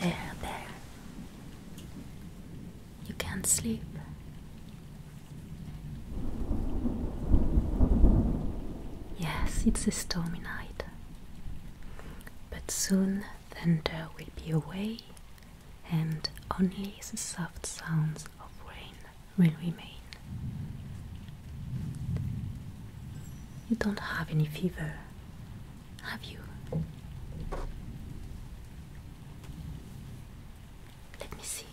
There, there. You can't sleep. Yes, it's a stormy night but soon thunder will be away, and only the soft sounds of rain will remain. You don't have any fever, have you? Let me see.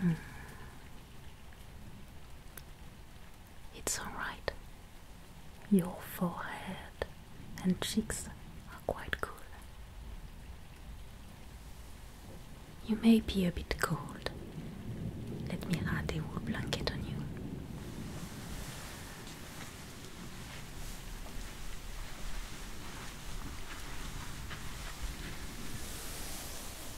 Hmm. It's alright. Your forehead and cheeks are quite cool. You may be a bit cold. Let me add a wool blanket on you.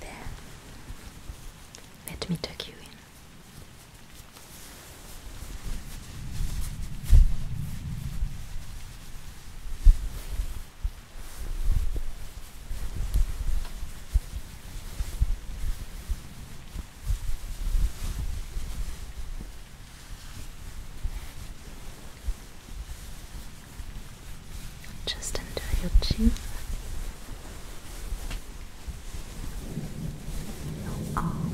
There. Let me take you in. Just under your chin, your arm,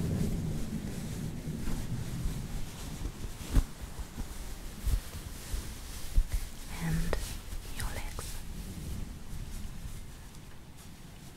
and your legs.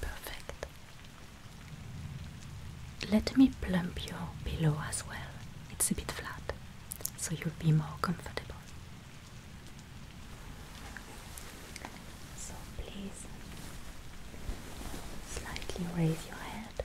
Perfect. Let me plump your pillow as well. It's a bit flat, so you'll be more comfortable. So please slightly raise your head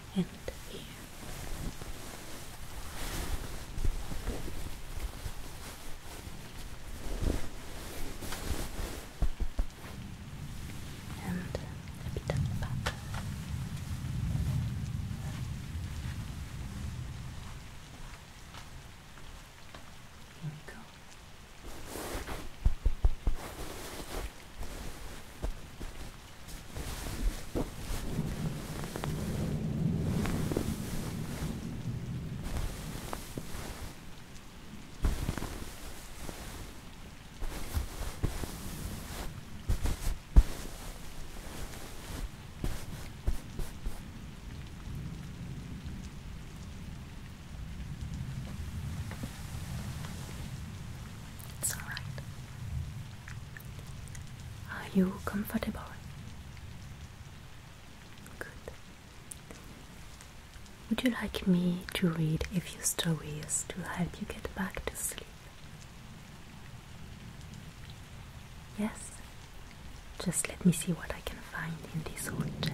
and here. And a bit at the back. we go. It's all right. Are you comfortable? Good. Would you like me to read a few stories to help you get back to sleep? Yes? Just let me see what I can find in this old chest.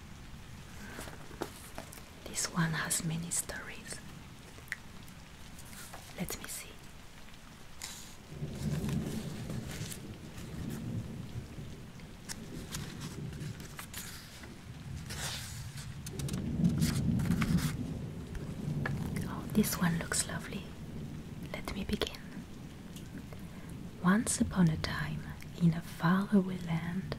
This one has many stories. Let me see. Oh, this one looks lovely. Let me begin. Once upon a time, in a faraway land,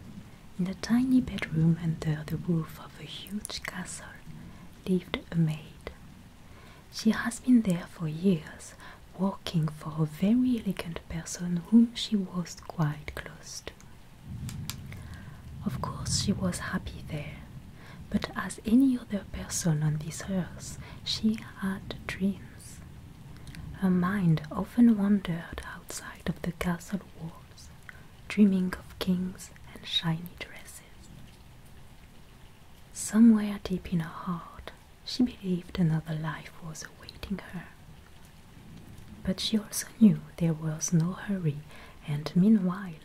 in a tiny bedroom under the roof of a huge castle, lived a maid. She has been there for years, working for a very elegant person whom she was quite close to. Of course, she was happy there, but as any other person on this earth, she had dreams. Her mind often wandered outside of the castle walls, dreaming of kings and shiny dresses. Somewhere deep in her heart, she believed another life was awaiting her. But she also knew there was no hurry, and meanwhile,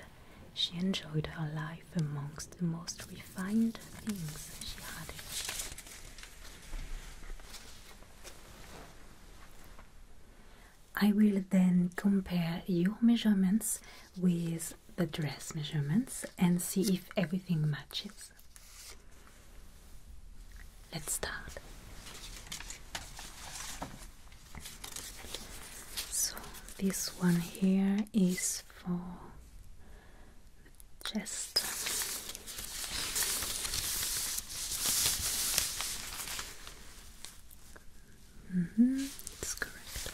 she enjoyed her life amongst the most refined things she had. I will then compare your measurements with the dress measurements and see if everything matches. Let's start. So, this one here is for chest. -hmm, that's correct.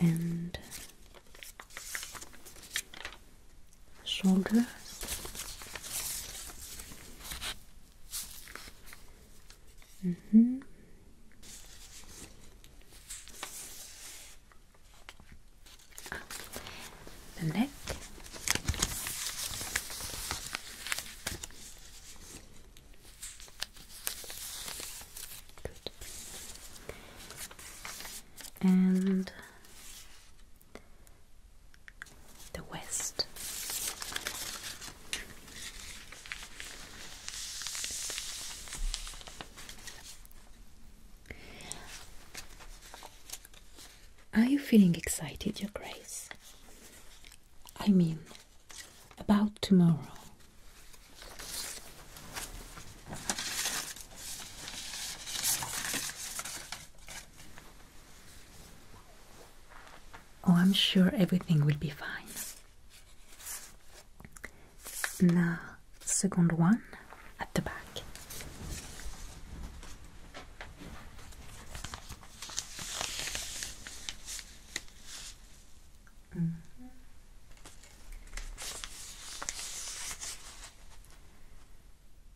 And shoulders. Mm -hmm the neck and the west are you feeling excited, Your Grace? I mean, about tomorrow. Oh, I'm sure everything will be fine. Now, second one at the back. Mm-hmm.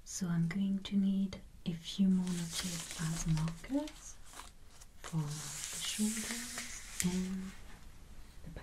So I'm going to need a few more notches as markers for the shoulders and the back.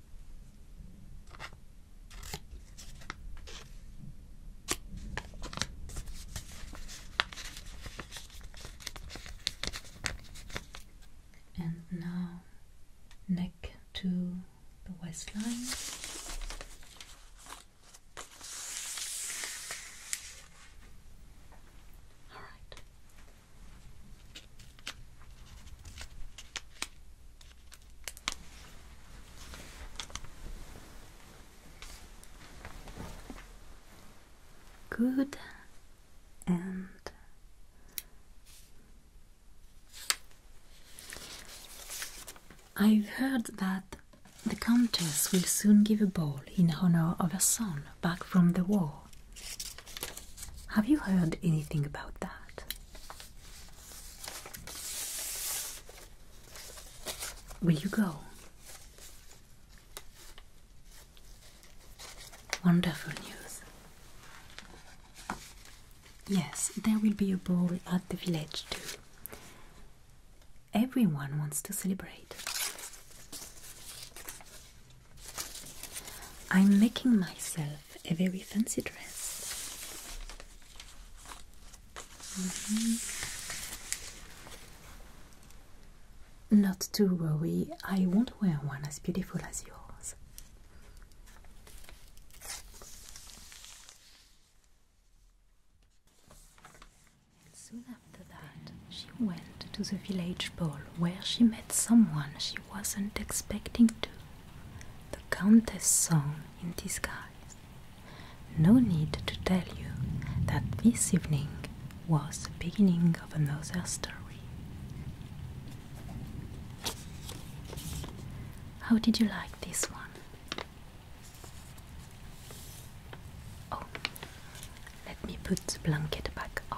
And now neck to the waistline. All right. Good and I've heard that the Countess will soon give a ball in honor of her son back from the war. Have you heard anything about that? Will you go? Wonderful news. Yes, there will be a ball at the village too. Everyone wants to celebrate. I'm making myself a very fancy dress. Mm-hmm. Not to worry, I won't wear one as beautiful as yours. soon after that, she went to the village ball where she met someone she wasn't expecting to. The Countess song in disguise. No need to tell you that this evening was the beginning of another story. How did you like this one? Oh, let me put the blanket back on.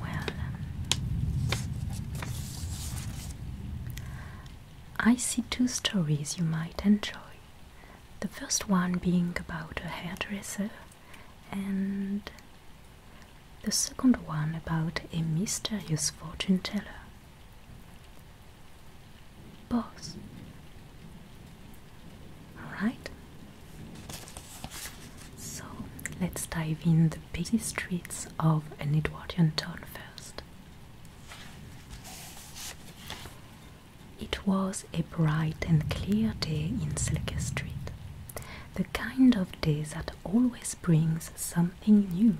well, I see two stories you might enjoy. The first one being about a hairdresser, and the second one about a mysterious fortune teller. Both. Alright, so let's dive in the busy streets of an Edwardian town first. It was a bright and clear day in Selke Street, the kind of day that always brings something new,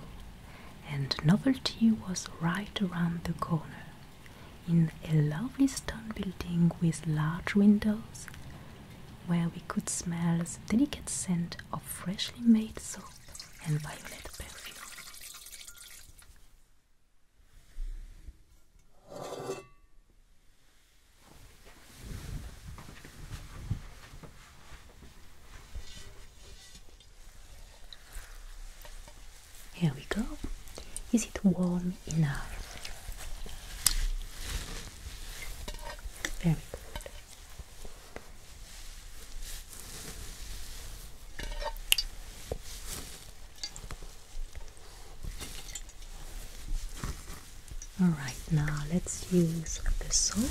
and novelty was right around the corner. In a lovely stone building with large windows, where we could smell the delicate scent of freshly made soap and violet perfume. Here we go. Is it warm enough? All right, now let's use the soap.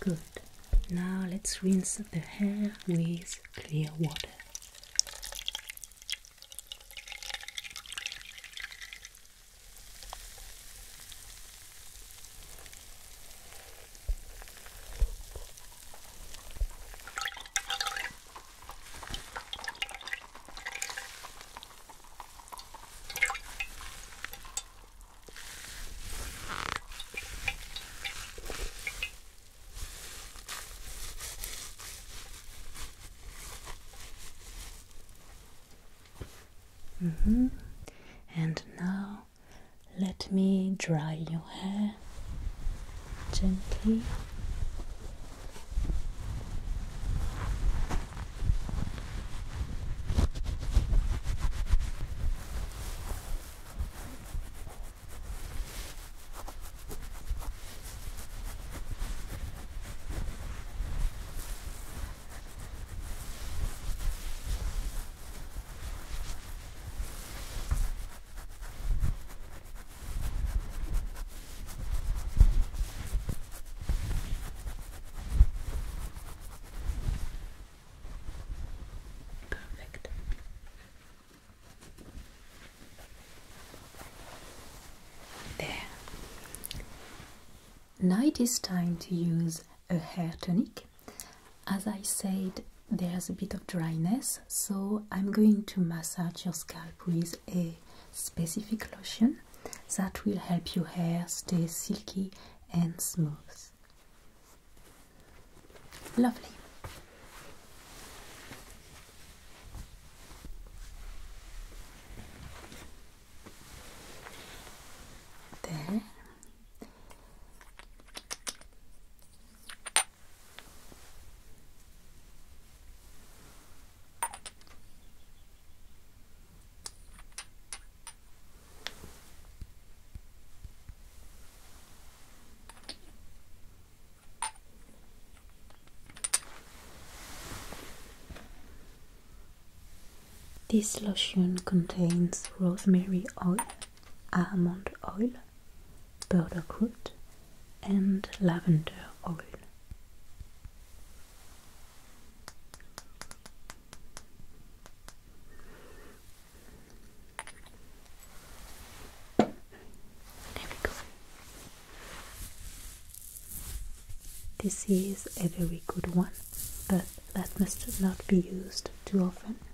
Good. Now let's rinse the hair with clear water. Mm -hmm. And now let me dry your hair gently. Perfect. There. Now it is time to use a hair tonic. As I said, there's a bit of dryness, so I'm going to massage your scalp with a specific lotion that will help your hair stay silky and smooth. Lovely. There. This lotion contains rosemary oil almond oil, burdock root, and lavender oil. There we go. This is a very good one, but that must not be used too often.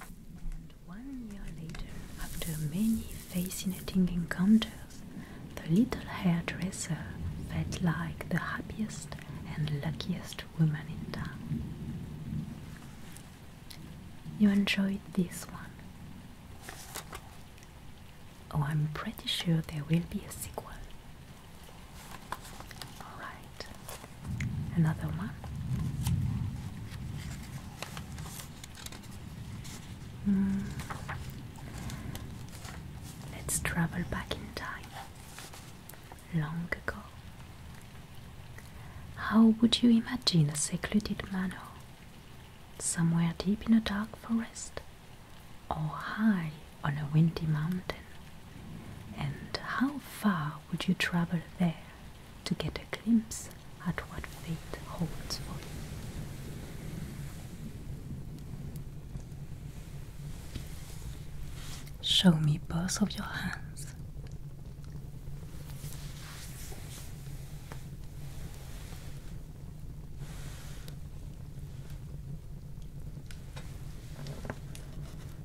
And one year later, after many fascinating encounters, the little hairdresser felt like the happiest and luckiest woman in town. You enjoyed this one. Oh, I'm pretty sure there will be a sequel. All right, another one. Hmm. Let's travel back in time. Long ago. How would you imagine a secluded manor? Somewhere deep in a dark forest, or high on a windy mountain? And how far would you travel there to get a glimpse at what fate holds for you? Show me both of your hands.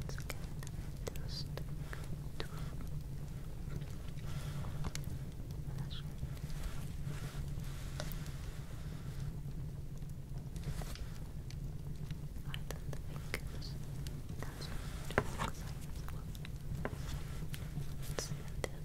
Let's get dust. Flash. Right on the fingers. That's what it looks like as well. Let's see the other end.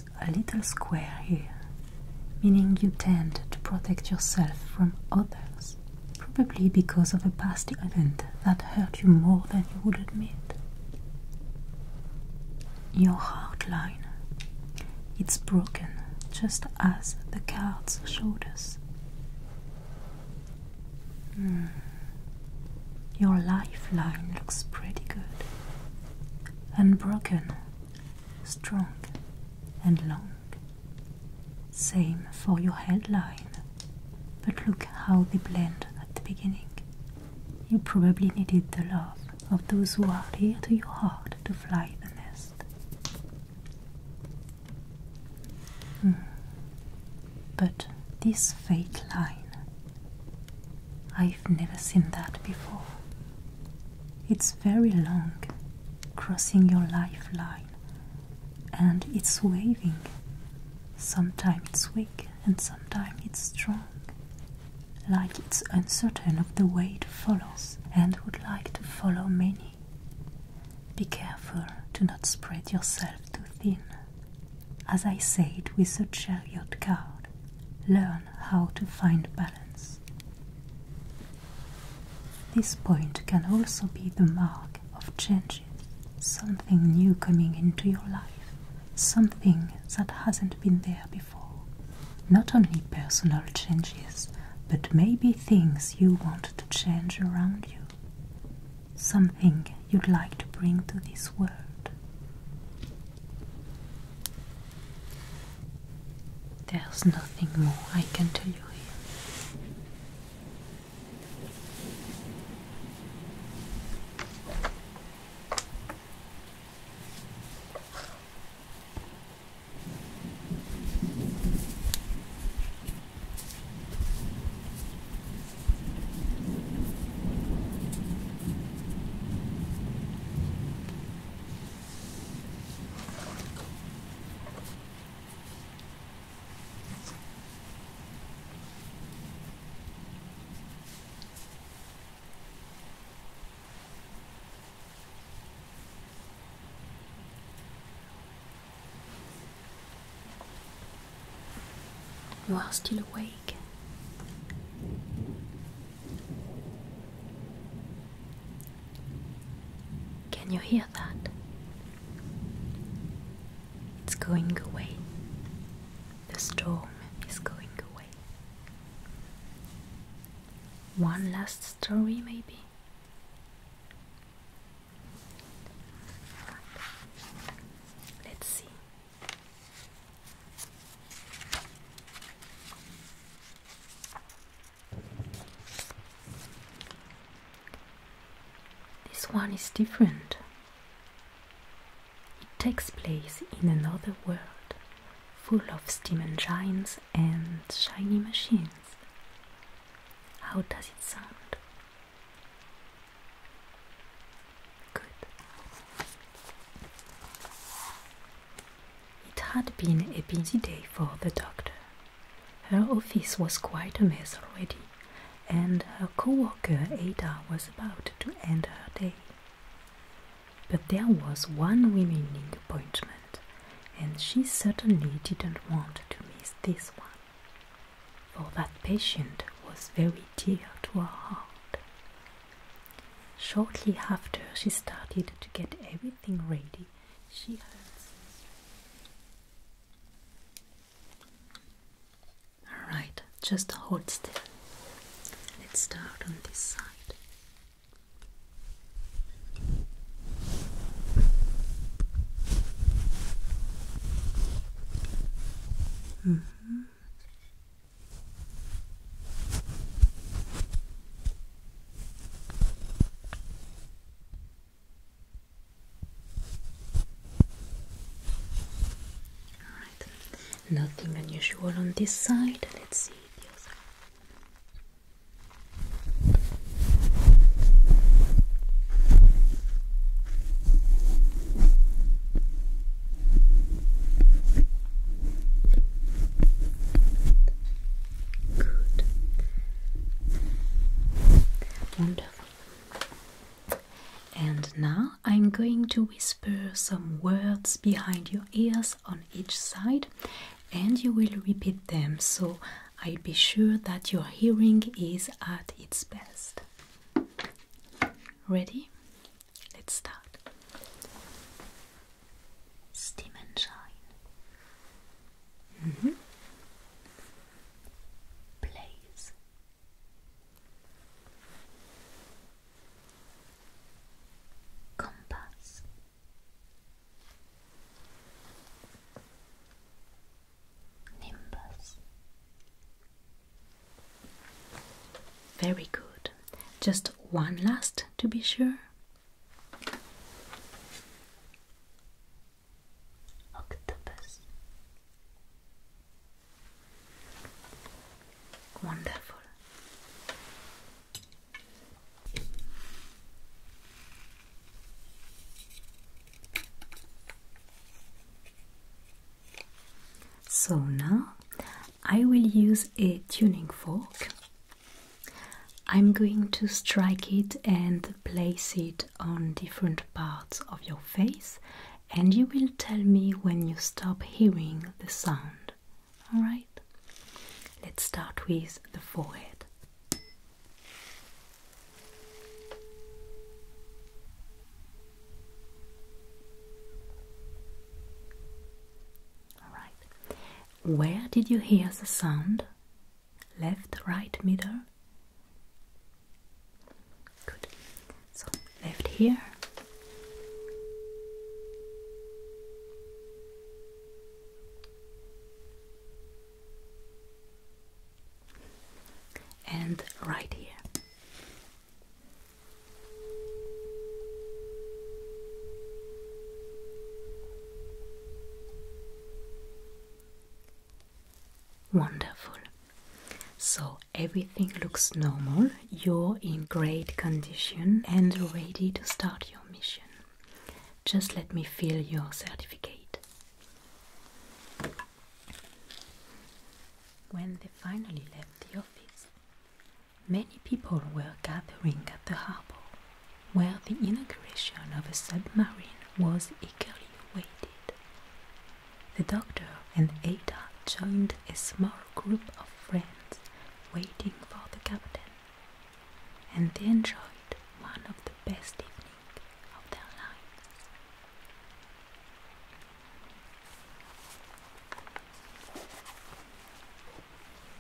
a little square here, meaning you tend to protect yourself from others, probably because of a past event that hurt you more than you would admit. Your heart line, it's broken just as the cards showed us. Mm. Your lifeline looks pretty good. Unbroken strong and long. Same for your headline, but look how they blend at the beginning. You probably needed the love of those who are dear to your heart to fly the nest. Hmm. But this fake line, I've never seen that before. It's very long, crossing your lifeline, and it's waving. Sometimes weak, and sometimes strong. Like it's uncertain of the way it follows, and would like to follow many. Be careful to not spread yourself too thin. As I said with the chariot card, learn how to find balance. This point can also be the mark of changes, something new coming into your life, something that hasn't been there before. Not only personal changes, but maybe things you want to change around you, something you'd like to bring to this world. There's nothing more I can tell you here. You are still awake. Can you hear that? It's going away. The storm is going away. One last story, maybe? Let's see. This one is different. It takes place in another world full of steam engines and shiny machines. How does it sound? Good. It had been a busy day for the doctor. Her office was quite a mess already, and her co-worker Ada was about to end her day. But there was one remaining appointment, and she certainly didn't want to miss this one, for that patient was very dear to her heart. Shortly after she started to get everything ready, she had. Alright, just hold still. Let's start on this side. -hmm nothing unusual on this side. Let's see the other. Good. Wonderful. And now I'm going to whisper some words behind your ears on each side, and you will repeat them so I'll be sure that your hearing is at its best. Ready? Let's start. Steam and shine. Mm-hmm. Blaze. Compass. Nimbus. Very good. Just one last to be sure. Octopus. Wonderful. So now I will use a tuning fork. I'm going to strike it and place it on different parts of your face, and you will tell me when you stop hearing the sound. Alright? Let's start with the forehead. All right. Where did you hear the sound? Left, right, middle? Good. So, left here. And right here. Wonderful. So everything looks normal, you're in great condition and ready to start your mission. Just let me fill your certificate. When they finally left the office, many people were gathering at the harbour, where the inauguration of a submarine was eagerly awaited. The doctor and Ada joined a small group of friends waiting for the captain, and they enjoyed one of the best evenings of their lives.